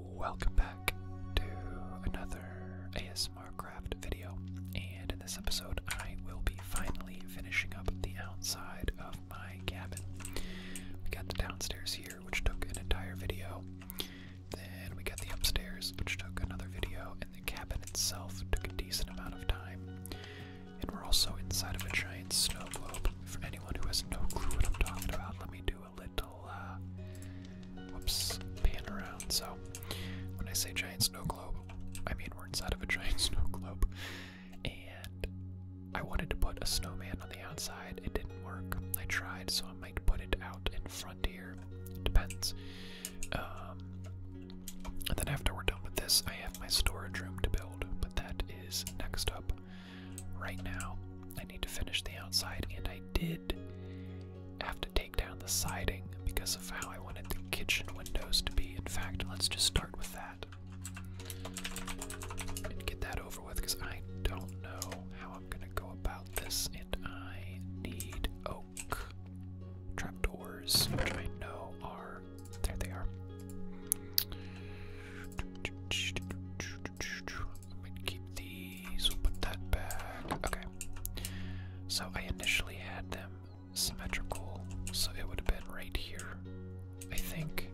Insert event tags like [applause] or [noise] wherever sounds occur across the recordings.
Welcome back to another ASMR craft video, and in this episode, I will be finally finishing up the outside of my cabin. We got the downstairs here, which took an entire video, then we got the upstairs, which took another video, and the cabin itself took a decent amount of time. And we're also inside of a giant snow globe. For anyone who has no clue what I'm talking about, let me do it little, uh, whoops, pan around. So, when I say giant snow globe, I mean we're inside of a [laughs] giant snow globe. And I wanted to put a snowman on the outside. It didn't work. I tried, so I might put it out in front here. Depends. Um, and then after we're done with this, I have my storage room to build, but that is next up right now. I need to finish the outside, and I did have to take down the siding because of how I wanted the kitchen windows to be. In fact, let's just start with that and get that over with because I don't know how I'm going to go about this, and I need oak trapdoors, which I know are. There they are. I'm keep these. We'll put that back. Okay. So I initially had them symmetrical, so it would have been right here, I think.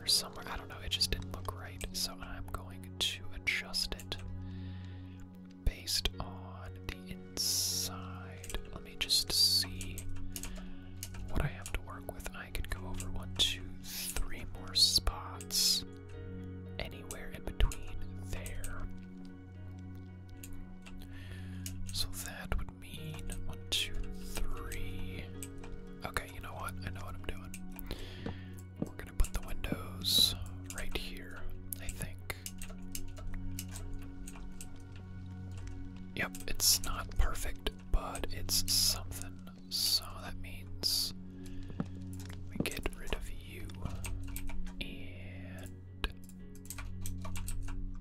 Or somewhere. I don't know. It just didn't look right. So I'm going to adjust it based on the inside. Let me just see what I have to work with. I could go over one, two, three more spots anywhere in between there. So that would mean one, two, three. Okay, you know what? I know what I'm doing. We're gonna put the windows right here, I think. Yep, it's not perfect, but it's something so that means we get rid of you and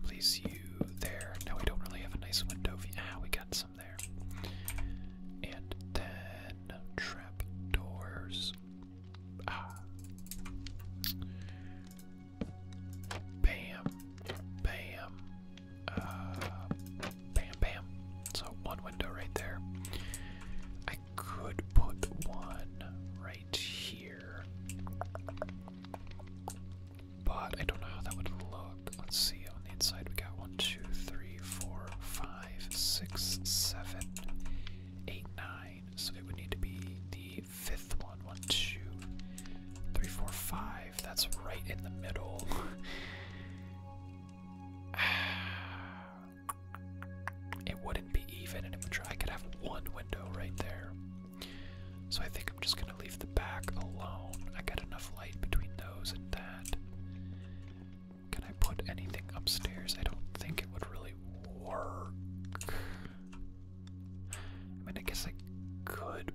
place you there. Now we don't really have a nice window view. Ah, we got some there. And then trap doors. Ah. Bam. Bam. Uh, Bam, bam. So one window right there. I could put one right here. But I don't know how that would look. Let's see. On the inside, we got one, two, three, four, five, six, seven, eight, nine. So it would need to be the fifth one. One, two, three, four, five. That's right in the middle. [sighs] Ah, it wouldn't be even and it would try, I could have one window right there. So I think I'm just gonna leave the back alone. I got enough light between those and that. Can I put anything upstairs? I don't think it would really work. I mean, I guess I could.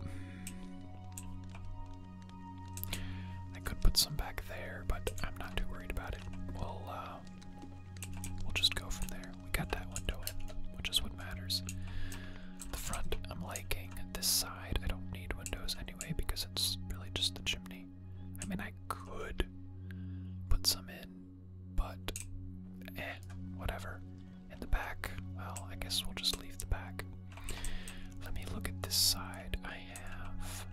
Hmm. I could put some back there, but I'm not too worried about it. We'll uh, we'll just go from there. We got that window in, which is what matters. The front I'm liking. This side I don't need windows anyway because it's really just the chimney. I mean I could put some in, but eh, whatever. In the back, well I guess we'll just leave the back. Let me look at this side. I have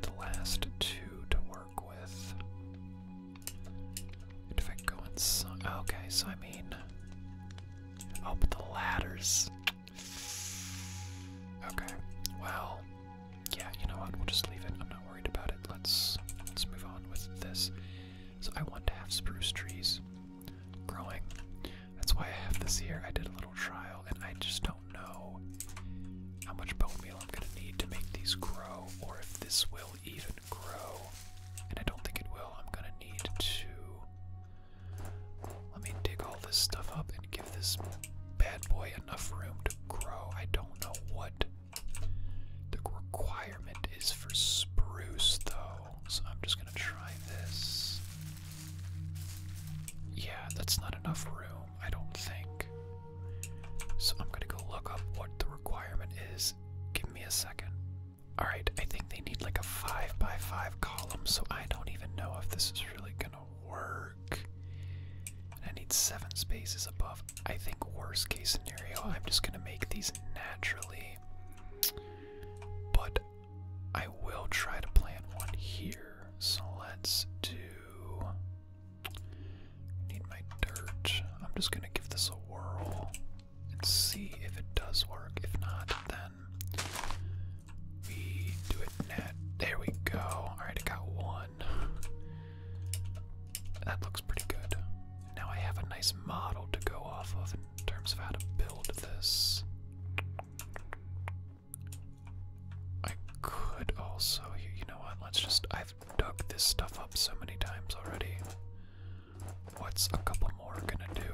the last two to work with. if I go Okay, so I mean. Oh, but the ladders. Okay, well. Yeah, you know what? We'll just leave it. I'm not worried about it. Let's let's move on with this. So I want to have spruce trees growing. That's why I have this here. I did a little trial, and I just don't know how much bone meal I'm going to need to make these grow, or if this will even grow. And I don't think it will. I'm going to need to. Let me dig all this stuff up and give this bad boy enough room to grow. I don't know what the requirement is for spruce, though. So I'm just going to try this. Yeah, that's not enough room, I don't think. So I'm gonna go look up what the requirement is. Give me a second. Alright, I think they need like a 5 by 5 column, so I don't even know if this is really gonna work. I need 7 spaces above. I think, worst case scenario, I'm just gonna make these naturally. But I will try to plant one here. So let's do. I need my dirt. I'm just gonna give this a whirl and see if it does work. If not, then we do it net. There we go. Alright, I got one. That looks pretty good. Now I have a nice model to go off of in terms of how to build this. I could also, you, know what, let's just, I've dug this stuff up so many times already. What's a couple more gonna do?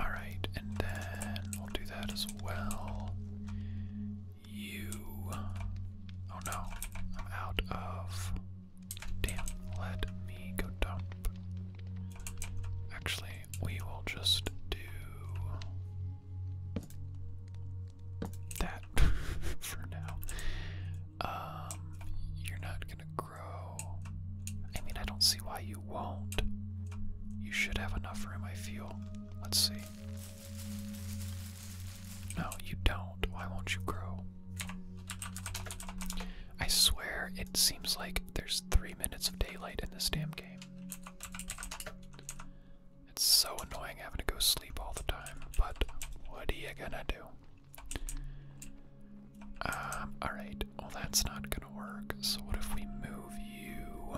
Alright, and then we'll do that as well. You. Oh no, I'm out of. Damn, let me go dump. Actually, we will just do that [laughs] for now. Um, you're not gonna grow. I mean, I don't see why you won't. You should have enough room, I feel. Let's see. No, you don't. Why won't you grow? I swear it seems like there's three minutes of daylight in this damn game. It's so annoying having to go sleep all the time, but what are you gonna do? Um, alright, well that's not gonna work, so what if we move you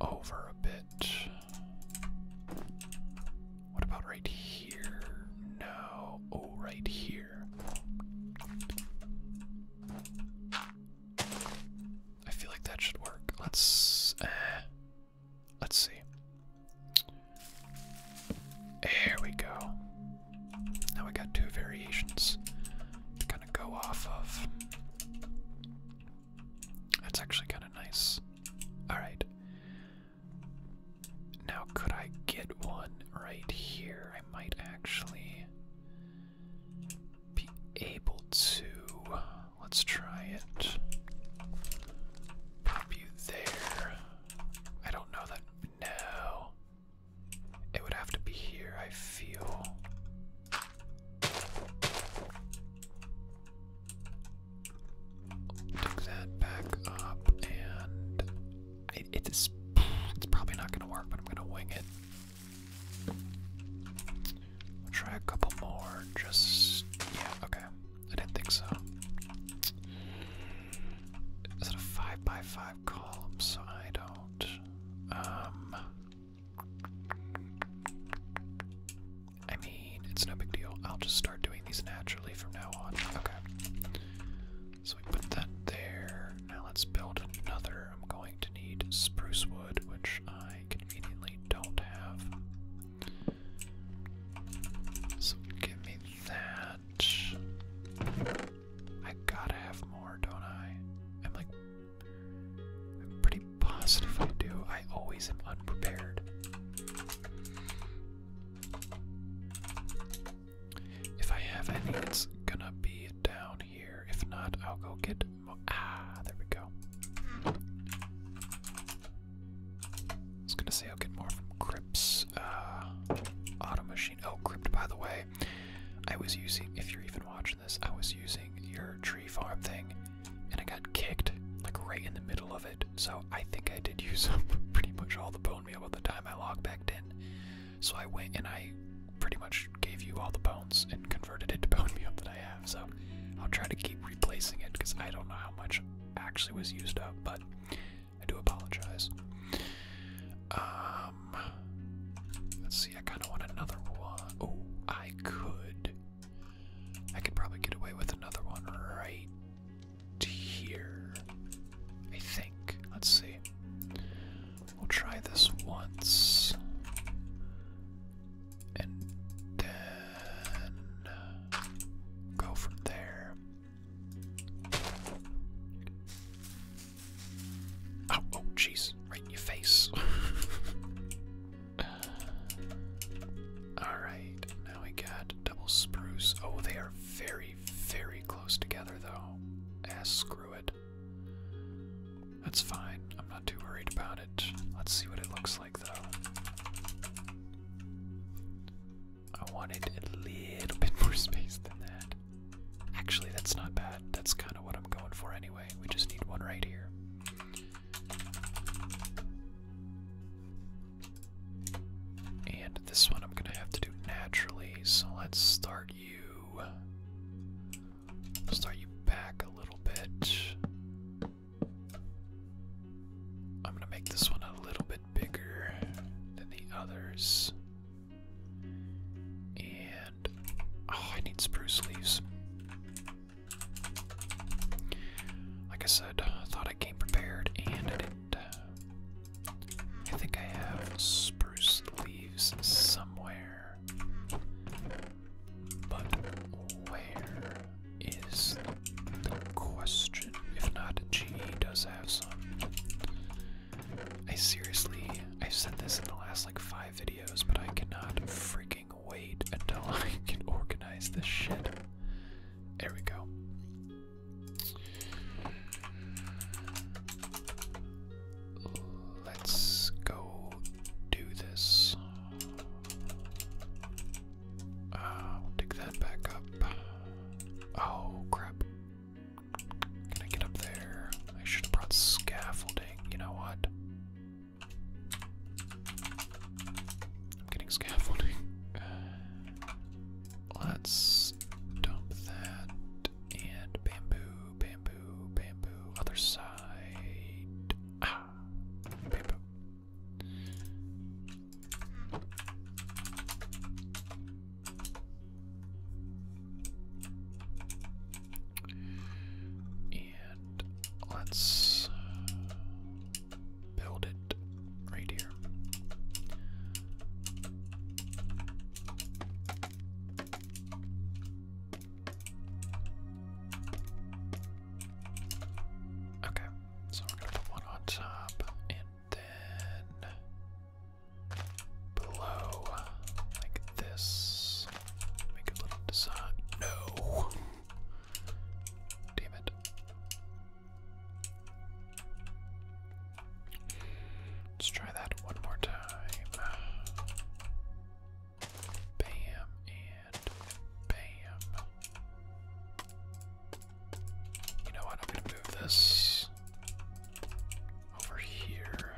over a bit? What about right here? No. Oh, right here. I feel like that should work. Let's. Uh, let's see. There we go. Now we got two variations to kind of go off of. That's actually kind of nice. Alright. Now, could I get one right here? I might actually be able to. Let's try it. Pop you there. I don't know that. No. It would have to be here, I feel. Pick that back up, and it's it's probably not gonna work, but I'm gonna wing it. I'll try a couple more. Just yeah, okay. I didn't think so. Is it a five by five column? So I don't. Um. I mean, it's no big deal. I'll just start doing doing these naturally from now on. Okay. So we put that there. Now let's build another. I'm going to need spruce wood, which I conveniently don't have. So give me that. I gotta have more, don't I? I'm like, I'm pretty positive I do. I always am unprepared. If I have any, it's gonna be down here. If not, I'll go get. Ah, there we go. I gonna say I'll get more from Crips. Uh, auto machine. Oh, Crypt, by the way. I was using, if you're even watching this, I was using your tree farm thing and I got kicked like right in the middle of it so I think I did use [laughs] up pretty much all the bone meal by the time I logged back in. So I went and I pretty much gave you all the bones and converted it to [laughs] bone meal that I have. So I'll try to keep replacing it because I don't know how much actually was used up, but I do apologize. Um, let's see. I kind of want another one. Oh, I could. I could probably get away with another one right here. I think. Let's see. We'll try this once. And then go from there. Oh, oh, jeez. Right in your face. [laughs] Alright, now we got double spruce. Oh, they are very very, close together, though. Ass ah, screw it. That's fine. I'm not too worried about it. Let's see what it looks like, though. I wanted a little [laughs] bit more space than that. Actually, that's not bad. That's kind of what I'm going for anyway. We just need one right here. And this one I'm going to have to do naturally, so let's start you. Start you back a little bit. I'm going to make this one a little bit bigger than the others. And. Oh, I need spruce leaves. Like I said, I thought I came prepared and I didn't. I think I have spruce leaves somewhere. But where is the question? If not, GE does have some. I seriously, I have said this in the last like five videos, but I cannot freaking wait until [laughs] I can organize this shit. There we go. Let's go do this. Uh, dig that back up. Oh, crap. Can I get up there? I should have brought scaffolding. You know what? I'm getting scaffolding. [laughs] Let's dump that and bamboo, bamboo, bamboo, other side. Ah, bamboo. And let's uh, build it right here. Okay, so we're gonna put one on top and then below like this. Make a little design. No. Damn it. Let's try that one more time. Bam and bam. You know what? I'm going to move this over here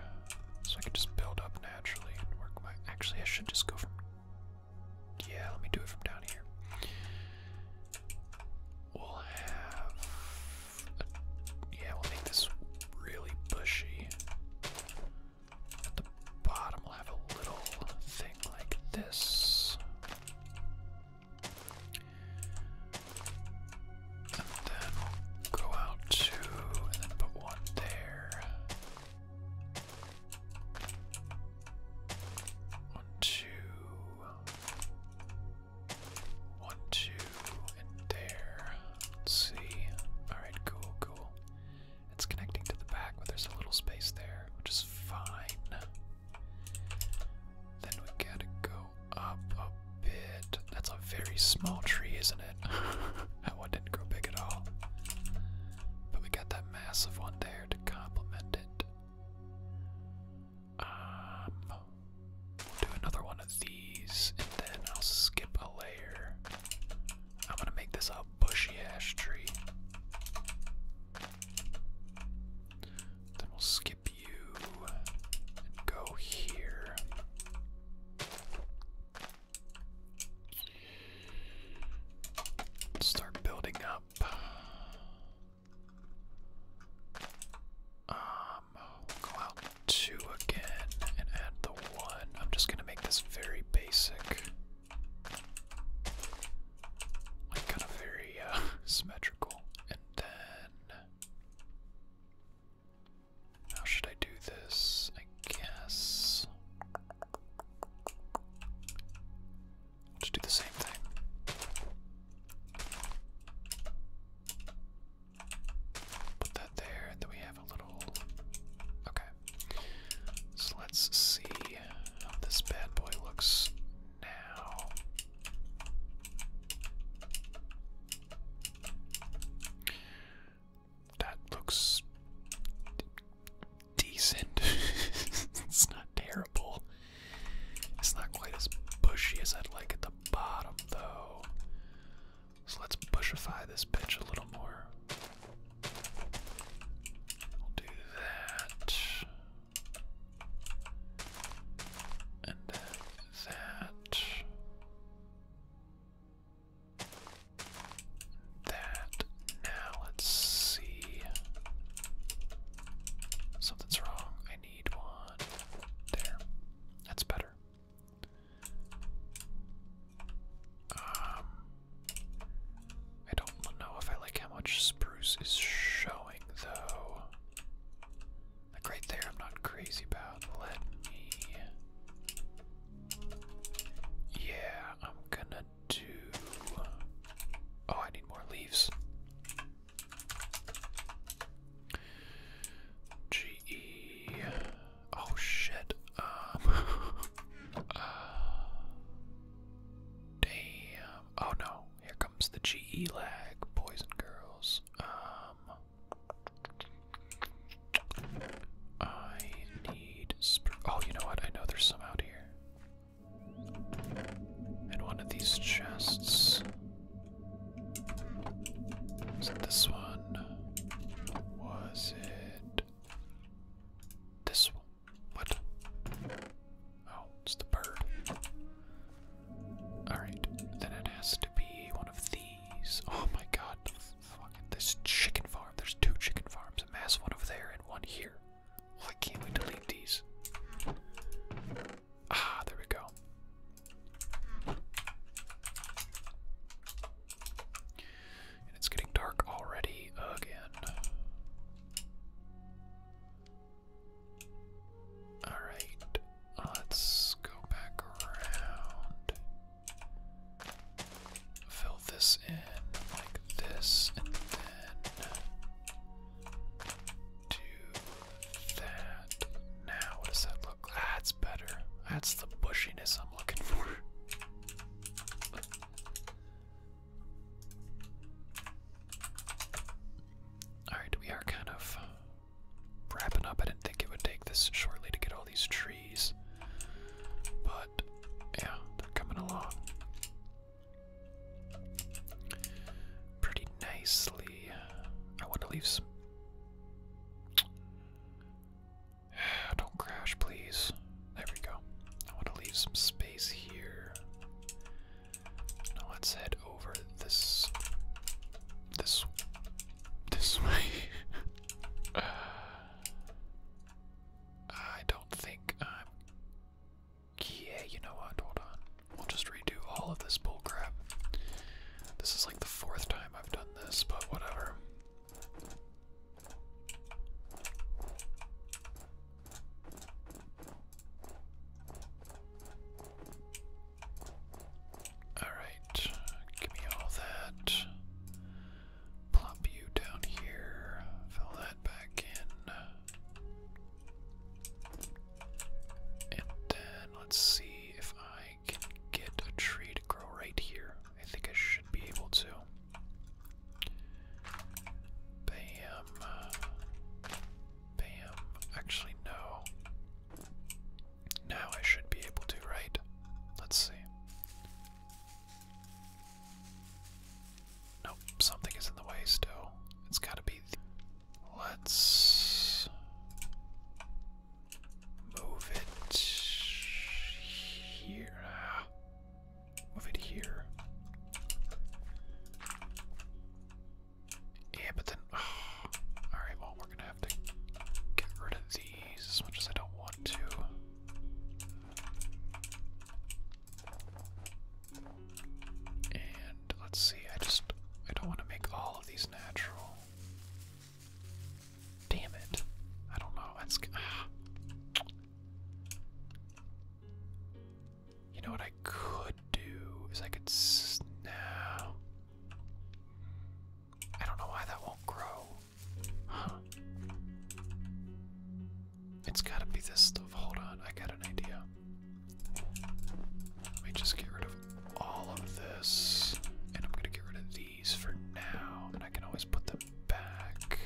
so I can just build up naturally and work my. Actually, I should just go from. Yeah, let me do it from down here. We'll have. yeah, we'll make this really bushy. At the bottom, we'll have a little thing like this. And then we'll go out to. and then put one there. One, two. One, two, and there. Let's see. Alright, cool, cool. It's connecting to the back, but there's a little space there, which is fine. Then we gotta go up a bit. That's a very small tree, isn't it? [laughs] that one didn't grow big at all. But we got that massive one there to complement it do another one of these, and then I'll skip a layer. I'm gonna make this a bushy ash tree. Then we'll skip you and go here. Start building up. Um, we two again and add the one. I'm just gonna make this very basic. Like kind of very uh, [laughs] symmetrical. And then how should I do this? I guess I'll just do the same thing. Put that there, and then we have a little. Okay. So let's see how this bad boy looks now. That looks decent. [laughs] it's not terrible. It's not quite as bushy as I'd like at the bottom, though. So let's bushify this bitch a little more. We'll do that. And that. That. Now let's see. Something's wrong need That's better. Um, I don't know if I like how much spruce is showing though. Like right there, I'm not crazy about. Let me. Yeah, I'm gonna do. Oh, I need more leaves. GE. Oh shit. Um. [laughs] Uh, damn. Oh no. Here comes the GE lag. Boys and girls. Um. I need. Oh, you know what? I know there's some out here. In one of these chests. Was it this one? Was it this one? What? Oh, it's the bird. Alright, then it has to be one of these. Oh my god, fucking this chicken farm. There's two chicken farms, a mass one over there and one here. Why can't we delete these? Ah, there we go. And it's getting dark already again. Alright, let's go back around. Fill this in like this, and then do that. Now, what does that look that's better. That's the bushiness I'm looking for. [laughs] Alright, we are kind of wrapping up. I didn't think it would take this shortly to get all these trees. But, yeah, they're coming along pretty nicely. I want to leave [sighs] Don't crash, please. There we go. I want to leave some space here. Now let's head over this, this, this [laughs] way. [sighs] I don't think I'm. Yeah, you know what? Hold on. We'll just redo all of this bullcrap. This is like the fourth time I've done this, but whatever. Alright, give me all that. Plop you down here, fill that back in. And then let's see if I can get a tree to grow right here. I think I should be able to. Bam. Bam. Actually, no. Now I should be able to, right? Let's see. Nope, something is in the way still. It's gotta be. Let's move it here. Move it here. Yeah, but then. [sighs] Alright, well, we're gonna have to get rid of these as much as I don't want to. And let's see, I just. I don't want to make all of these Damn it. I don't know. That's. Ah. You know what I could do is I could. Now. I don't know why that won't grow. Huh. It's gotta be this stuff. Hold on, I got an idea. Let me just get rid of all of this. And I'm gonna get rid of these for now. And I can always put them back.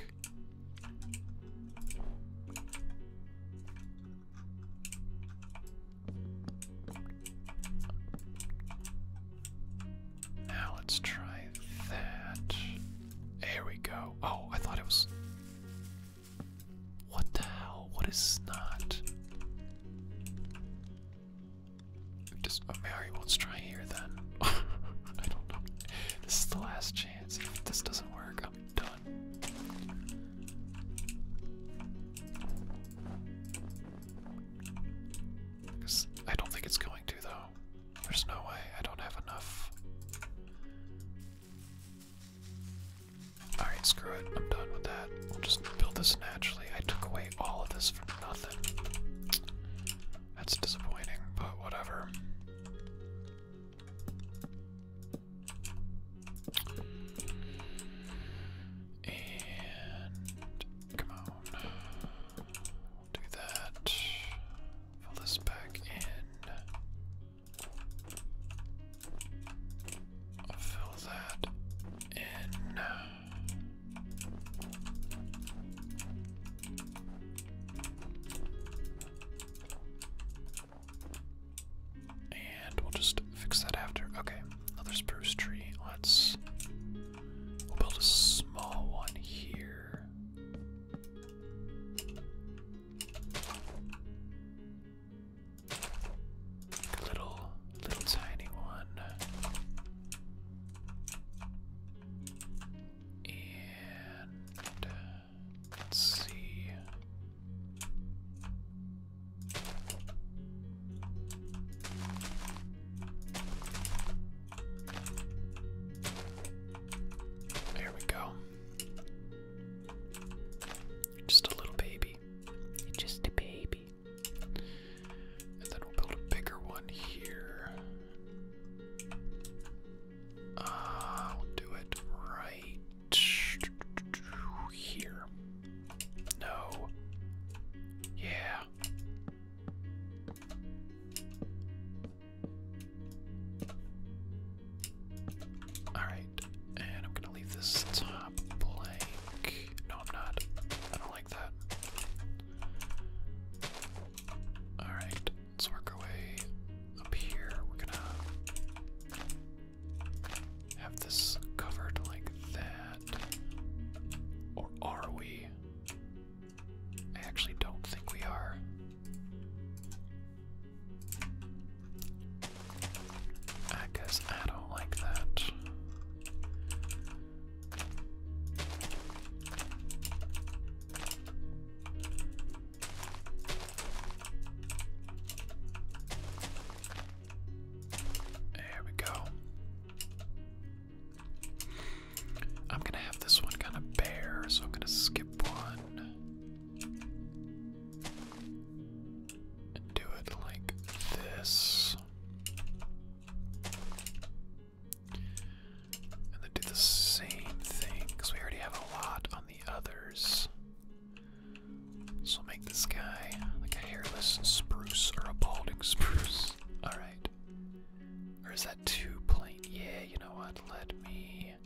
Now let's try that. There we go. Oh, I thought it was. What the hell? What is snot? Just Mary, well, let try here then. [laughs] I don't know. This is the last chance. If this doesn't work, I'm done. I don't think it's going to though. There's no way. I don't have enough. Alright, screw it. I'm done with that. We'll just build this naturally. I took away all of this for nothing. That's disappointing, but whatever. And come on. do that. Fill this back in. I'll fill that in. And we'll just fix that after. Okay, another spruce tree. Let's. build a small one here. Little, little tiny one. And let's see. There we go. Just a little baby. Just a baby. And then we'll build a bigger one here. Uh, we'll do it right here. No. Yeah. Alright, and I'm gonna leave this top blank. No, I'm not. I don't like that. Alright, let's work our way up here. We're gonna have this covered like that. Or are we? I actually don't think we are. I guess I don't like that. There we go. I'm gonna have this one kind of bare, so I'm gonna skip one do it like this. And then do the same thing, because we already have a lot on the others. So we'll make this guy like a hairless spruce or a balding [laughs] spruce. Alright. Or is that too plain? Yeah, you know what? Let me.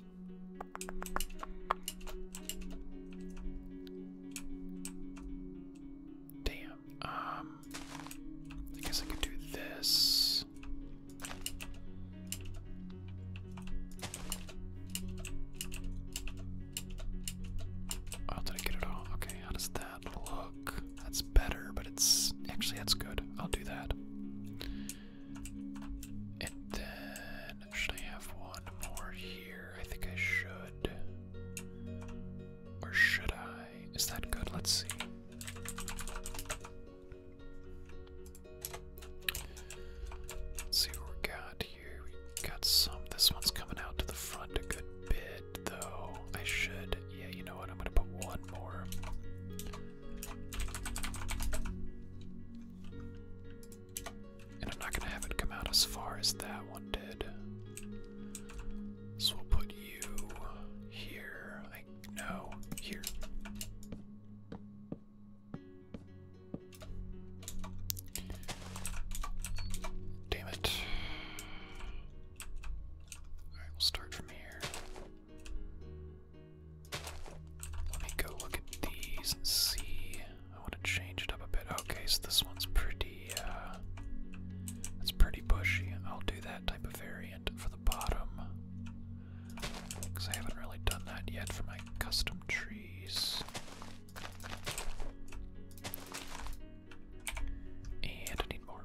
Damn. Um I guess I could do this. Oh, did I get it all? Okay, how does that look? That's better, but it's actually that's good. I'll do that. And then should I have one more here? I think I should. Or should I? Is that good? Let's see. Let's see what we got here. We got some. This one's coming out to the front a good bit, though. I should. Yeah, you know what? I'm going to put one more. And I'm not going to have it come out as far as that one did. So we'll put you here. I no, here. Damn it. Alright, we'll start from here. Let me go look at these and see. I want to change it up a bit. Okay, so this one's pretty pretty, uh, that's pretty bushy. I'll do that type of variant for the bottom. Because I haven't really done that yet for my custom trees. And I need more.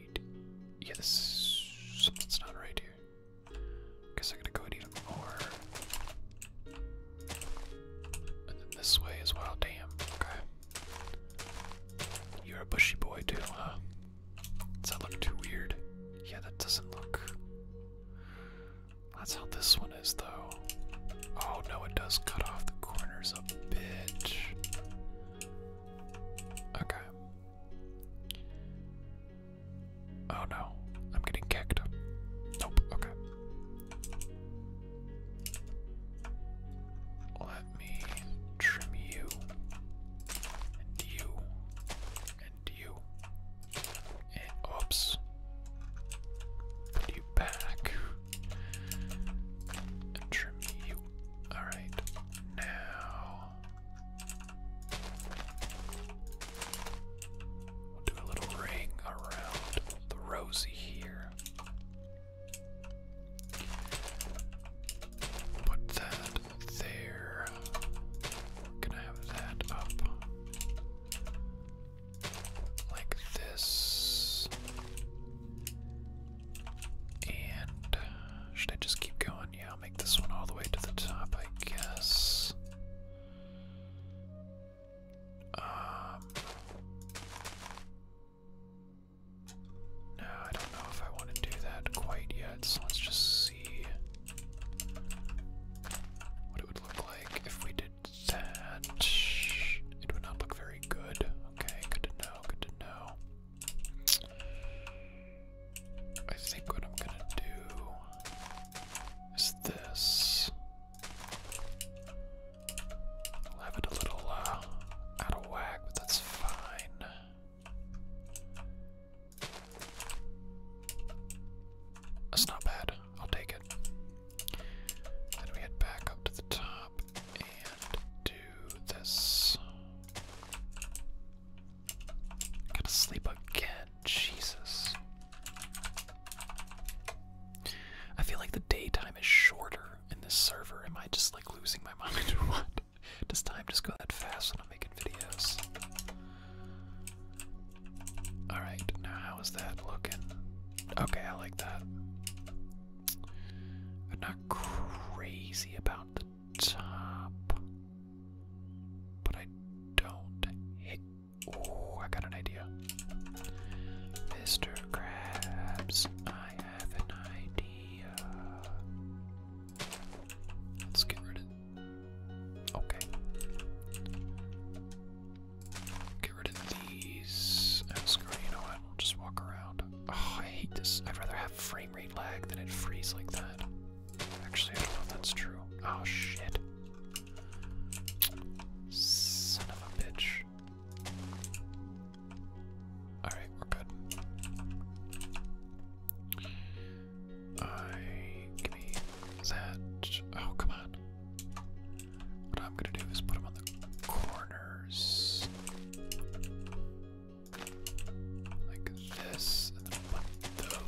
need... Yeah, this... something's not right here. Guess I gotta go and eat more. And then this way as well, damn. Okay. You're a bushy boy too, huh? Does that look too weird? Yeah, that doesn't look... That's how this one is, though. Oh no, it does cut off the corners a bit. Okay. Oh no, I'm getting kicked. Nope, okay. Let me trim you, and you, and you, and oops. Put you back, and trim you. Alright, now do a little ring around the rosy here. Put that there. gonna have that up like this. And should I just keep going? Yeah, I'll make this one all the way to the top, I guess. Um, no, I don't know if I want to do that quite yet, so let's just see what it would look like if we did that. It would not look very good. Okay, good to know, good to know. I think what I'm gonna do is this. I'll have it a little uh, out of whack, but that's fine. That's not bad. I'll take it. Then we head back up to the top and do this. I gotta sleep again. Jesus. I feel like the daytime is shorter in this server. Am I just like losing my mind or [laughs] what? Does time just go that fast when I'm making videos? Alright, now how is that looking? Okay, I like that. not crazy about the top. But I don't Oh, I got an idea. Mr. Krabs, I have an idea. Let's get rid of. Okay. Get rid of these. Oh, screw You know what? We'll just walk around. Oh, I hate this. I'd rather have free gaming rate lag, then it freeze like that. Actually, I don't know if that's true. Oh shit. Son of a bitch. Alright, we're good. I give me that. Oh come on. What I'm gonna do is put them on the corners like this,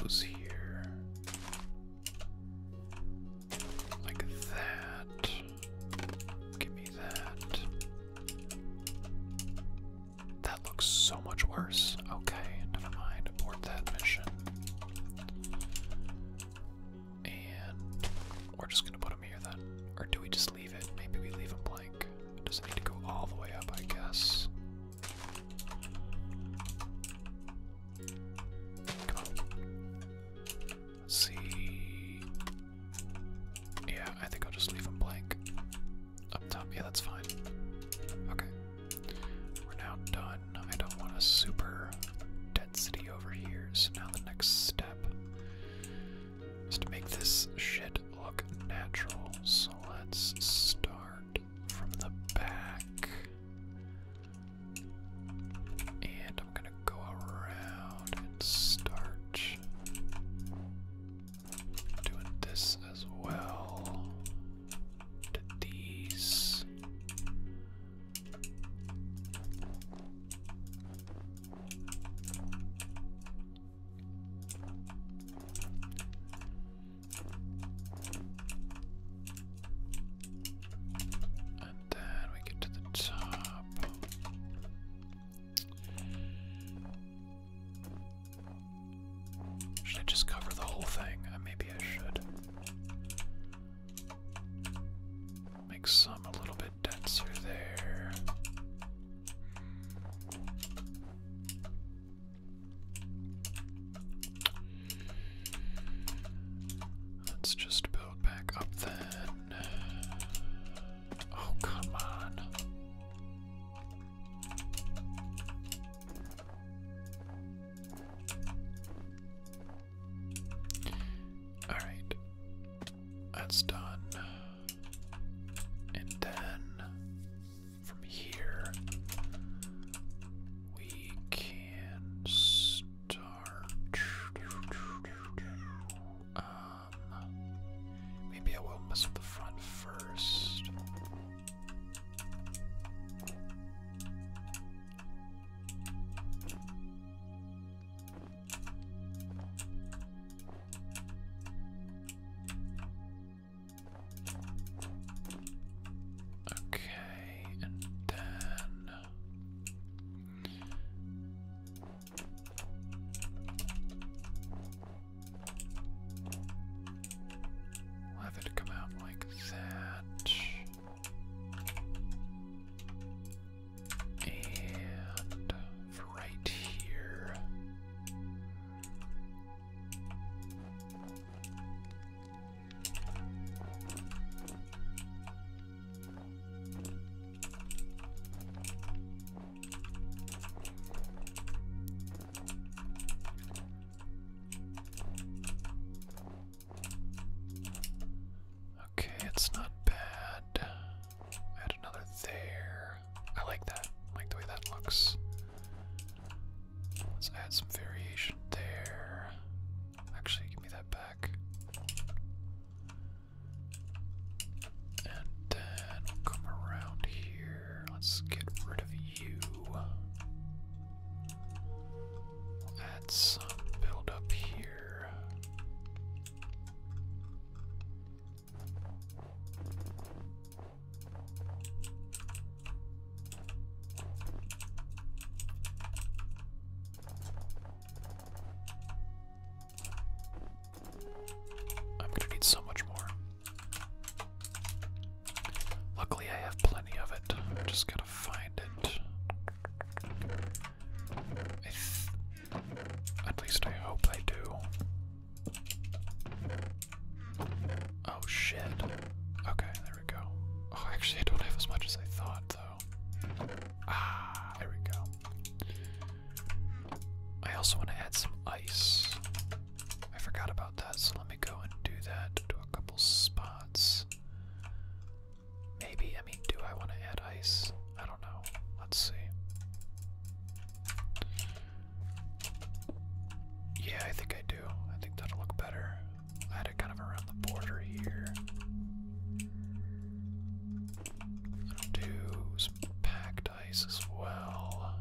those here, like that. Give me that. That looks so much worse. Okay, never mind. Abort that mission. And we're just gonna put him here then. Or do we just leave it? Maybe we leave him blank. It doesn't need to go all the way up, I guess. Come on. see. Yeah, I think I'll just leave them blank. Up top, yeah, that's fine. Okay. We're now done. I don't want a super density over here, so now the next step is to make this shit look natural, so let's start from the back. And I'm gonna go around and start doing this as well these. And then we get to the top. Should I just cover the whole thing? Uh, maybe I should. Make some a little bit denser there. Let's just build back up then. Oh, come on. All right. That's done. And then from here, we can start. Um, maybe I will mess with the front first. Okay, and then have it come out like that. And right here, Okay, it's not bad. Add another there. I like that. I like the way that looks. Let's add some variation there. Actually, give me that back. And then come around here. Let's get rid of you. add some build here. I'm going to need so much more. Luckily, I have plenty of it. I just got to find it. at least I hope I do. Oh shit. Okay, there we go. Oh, actually, I don't have as much as I thought, though. Ah, there we go. I also want to add some ice. I forgot about that, so let me go and do that to a couple spots. Maybe, I mean, do I want to add ice? I don't know. Let's see. Yeah, I think I do. I think that'll look better. I it kind of around the border here. I'll do some packed ice as well.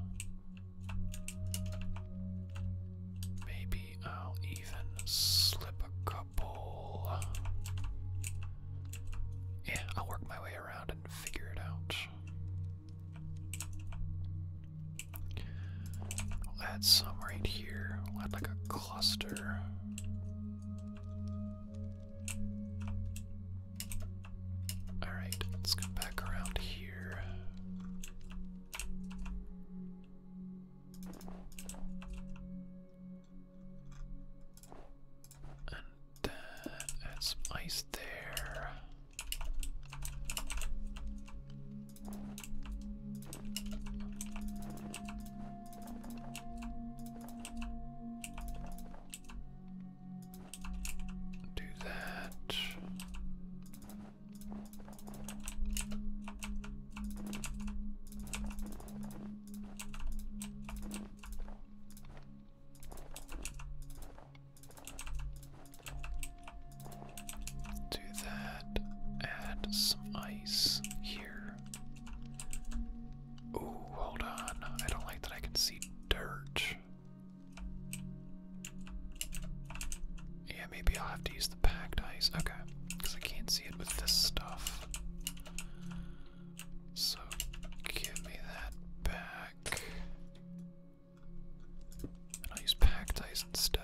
Maybe I'll even slip a couple. Yeah, I'll work my way around and figure it out we add some right here. add like a cluster. Alright, let's come back around here. And then add some ice there. Do that. Do that. Add some ice here. Ooh, hold on. I don't like that I can see dirt. Yeah, maybe I'll have to use the packed ice. Okay, because I can't see it with this stuff. So give me that back. I'll use packed ice instead.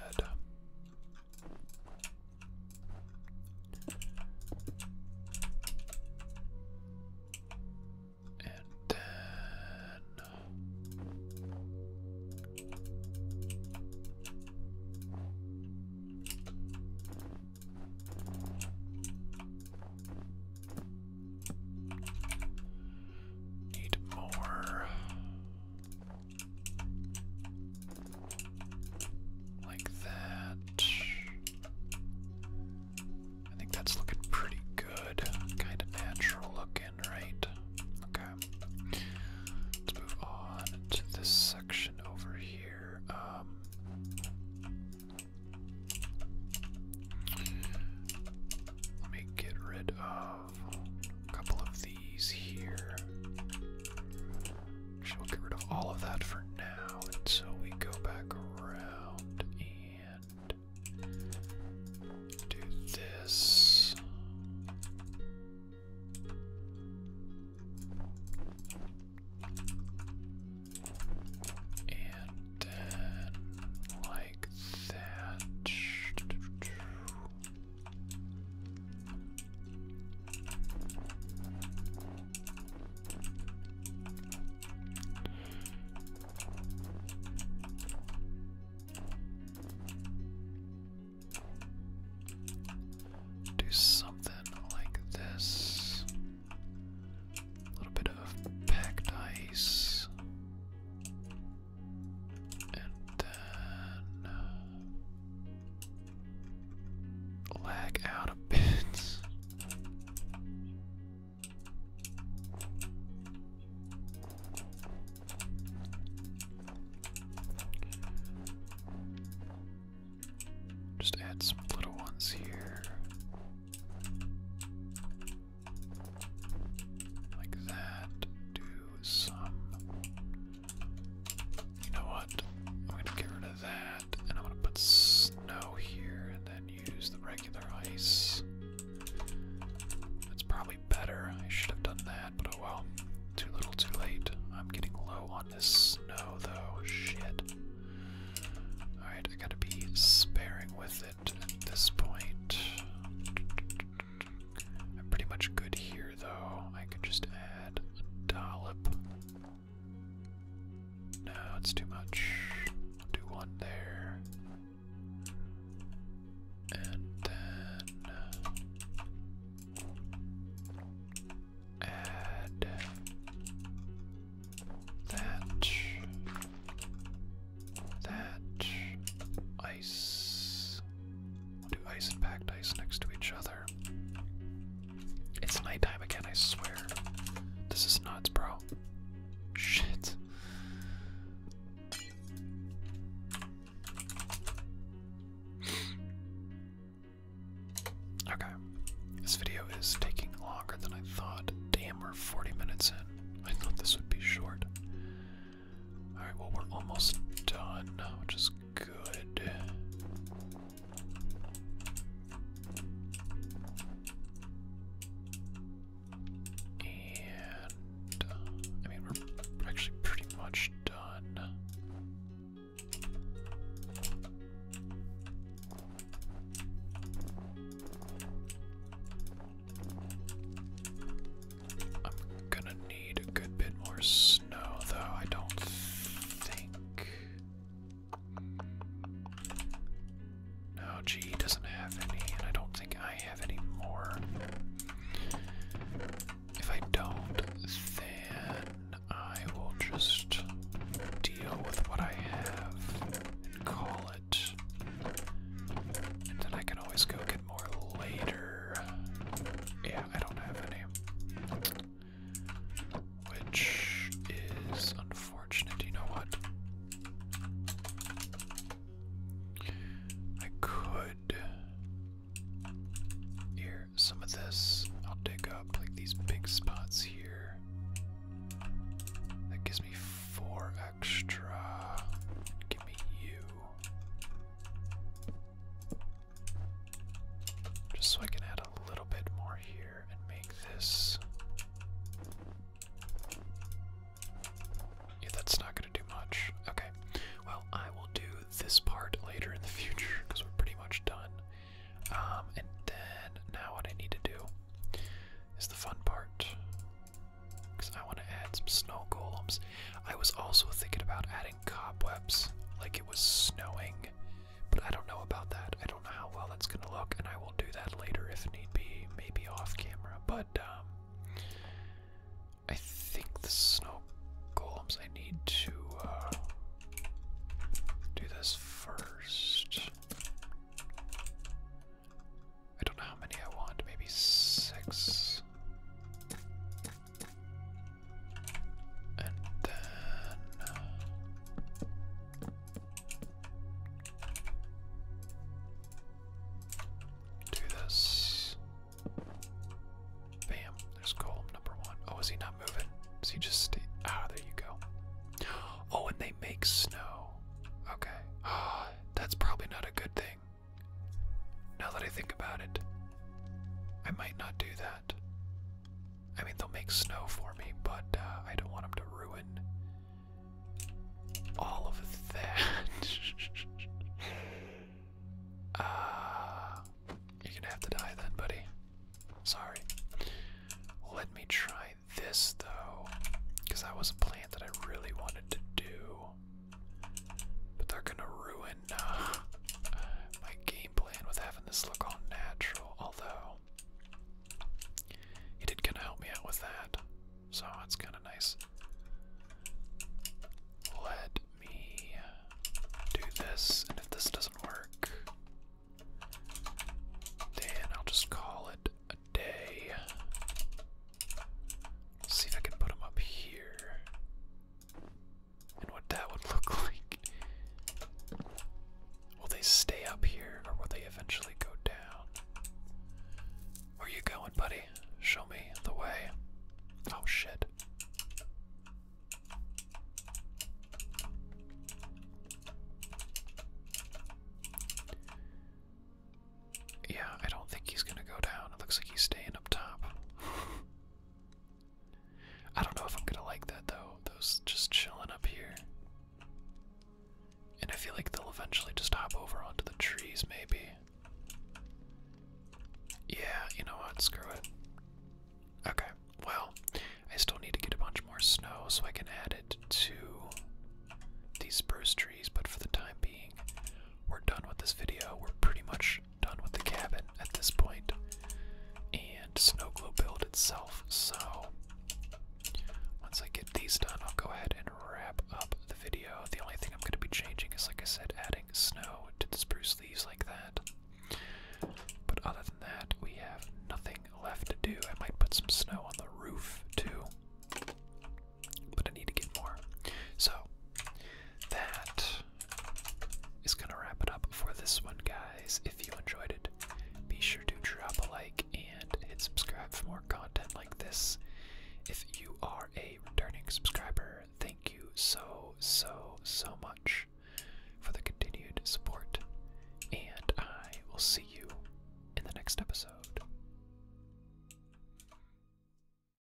And then Need more. Like that. I think that's looking pretty good. Kind of natural looking, right? Okay. Let's move on to this section over here. Um, let me get rid of a couple of these here. we'll get rid of all of that for now, and so we go back around and do this. And then, like like that. Do something like this. A little bit of packed ice. Uh, lag out a bit. Just add some little ones here like that. Do some. You know what? I'm going to get rid of that, and I'm going to put snow here, and then use the regular ice. That's probably better. I should have done that, but oh well. Too little, too late. I'm getting low on this snow, though. Shit. Alright, I gotta be sparing with it at this point. I'm pretty much good here, though. I can just add a dollop. No, it's too much. do one there. And then uh, add that that ice. do ice and packed ice next to each other. It's nighttime again, I swear. This is nuts, bro. Shit. okay. This video is taking longer than I thought. Damn, we're 40 minutes in. I thought this would be short. Alright, well, we're almost done, which is good. And, uh, I mean, we're actually pretty much done. I'm gonna need a good bit more snow, though. I don't think. No, G doesn't have any, and I don't think I have any more. If I don't, then I will just deal with what I have and call it. And then I can always go get more later. Yeah, I don't have any. Which is unfortunate. You know what? I could. Here, some of this I'll dig up, like these big spots here. That gives me four extra. Give me you. Just so I can add a little bit more here and make this. Yeah, that's not going to do much. Okay. Well, I will do this part later in the future because we're pretty much done. Um, and then now what I need to do is the fun part. Because I want to add some snow golems. I was also thinking about adding cobwebs, like it was snowing. But I don't know about that. I don't know how well that's going to look, and I will do that later if need be, maybe off camera. But um, I think the snow golems, I need to uh, do this first. I don't know how many I want, maybe six. And then uh, do this. Bam, there's golem number one. Oh, is he not moving? Is he just stay ah there you go. Oh, and they make snow. Okay. Ah, [gasps] that's probably not a good thing. Now that I think about it, I might not do that. I mean, they'll make snow for me, but uh, I don't want them to ruin all of that. [laughs] Uh, you're gonna have to die then, buddy. Sorry. Let me try this though, because that was a plan that I really wanted to do. But they're gonna ruin uh, my game plan with having this look all natural, although he did kind of help me out with that, so it's kind of nice. Let me do this, and if this doesn't work, then I'll just call it a day. Let's see if I can put them up here. And what that would [laughs] look like. Will they stay up here or will they eventually go down? Where you going, buddy? Show me the way. Oh shit. Yeah, I don't think he's gonna go down. It looks like he's staying up top. I don't know if I'm gonna like that though. Those just chilling up here. And I feel like they'll eventually just hop over onto the trees, maybe. Yeah, you know what? Screw it. Okay, well, I still need to get a bunch more snow so I can add it to these spruce trees, but for the time being, we're done with this video. We're pretty much done with the cabin at this point, and snow globe build itself. So once I get these done, I'll go ahead and wrap up the video. The only thing I'm going to be changing is, like I said, adding snow to the spruce leaves like that. But other than that, we have nothing left to do. I might put some snow on the roof too but I need to get more. So that is gonna wrap it up for this one, guys. If you enjoyed it, be sure to drop a like and hit subscribe for more content like this. If you are a returning subscriber, thank you so, so, so much for the continued support, and I will see you in the next episode.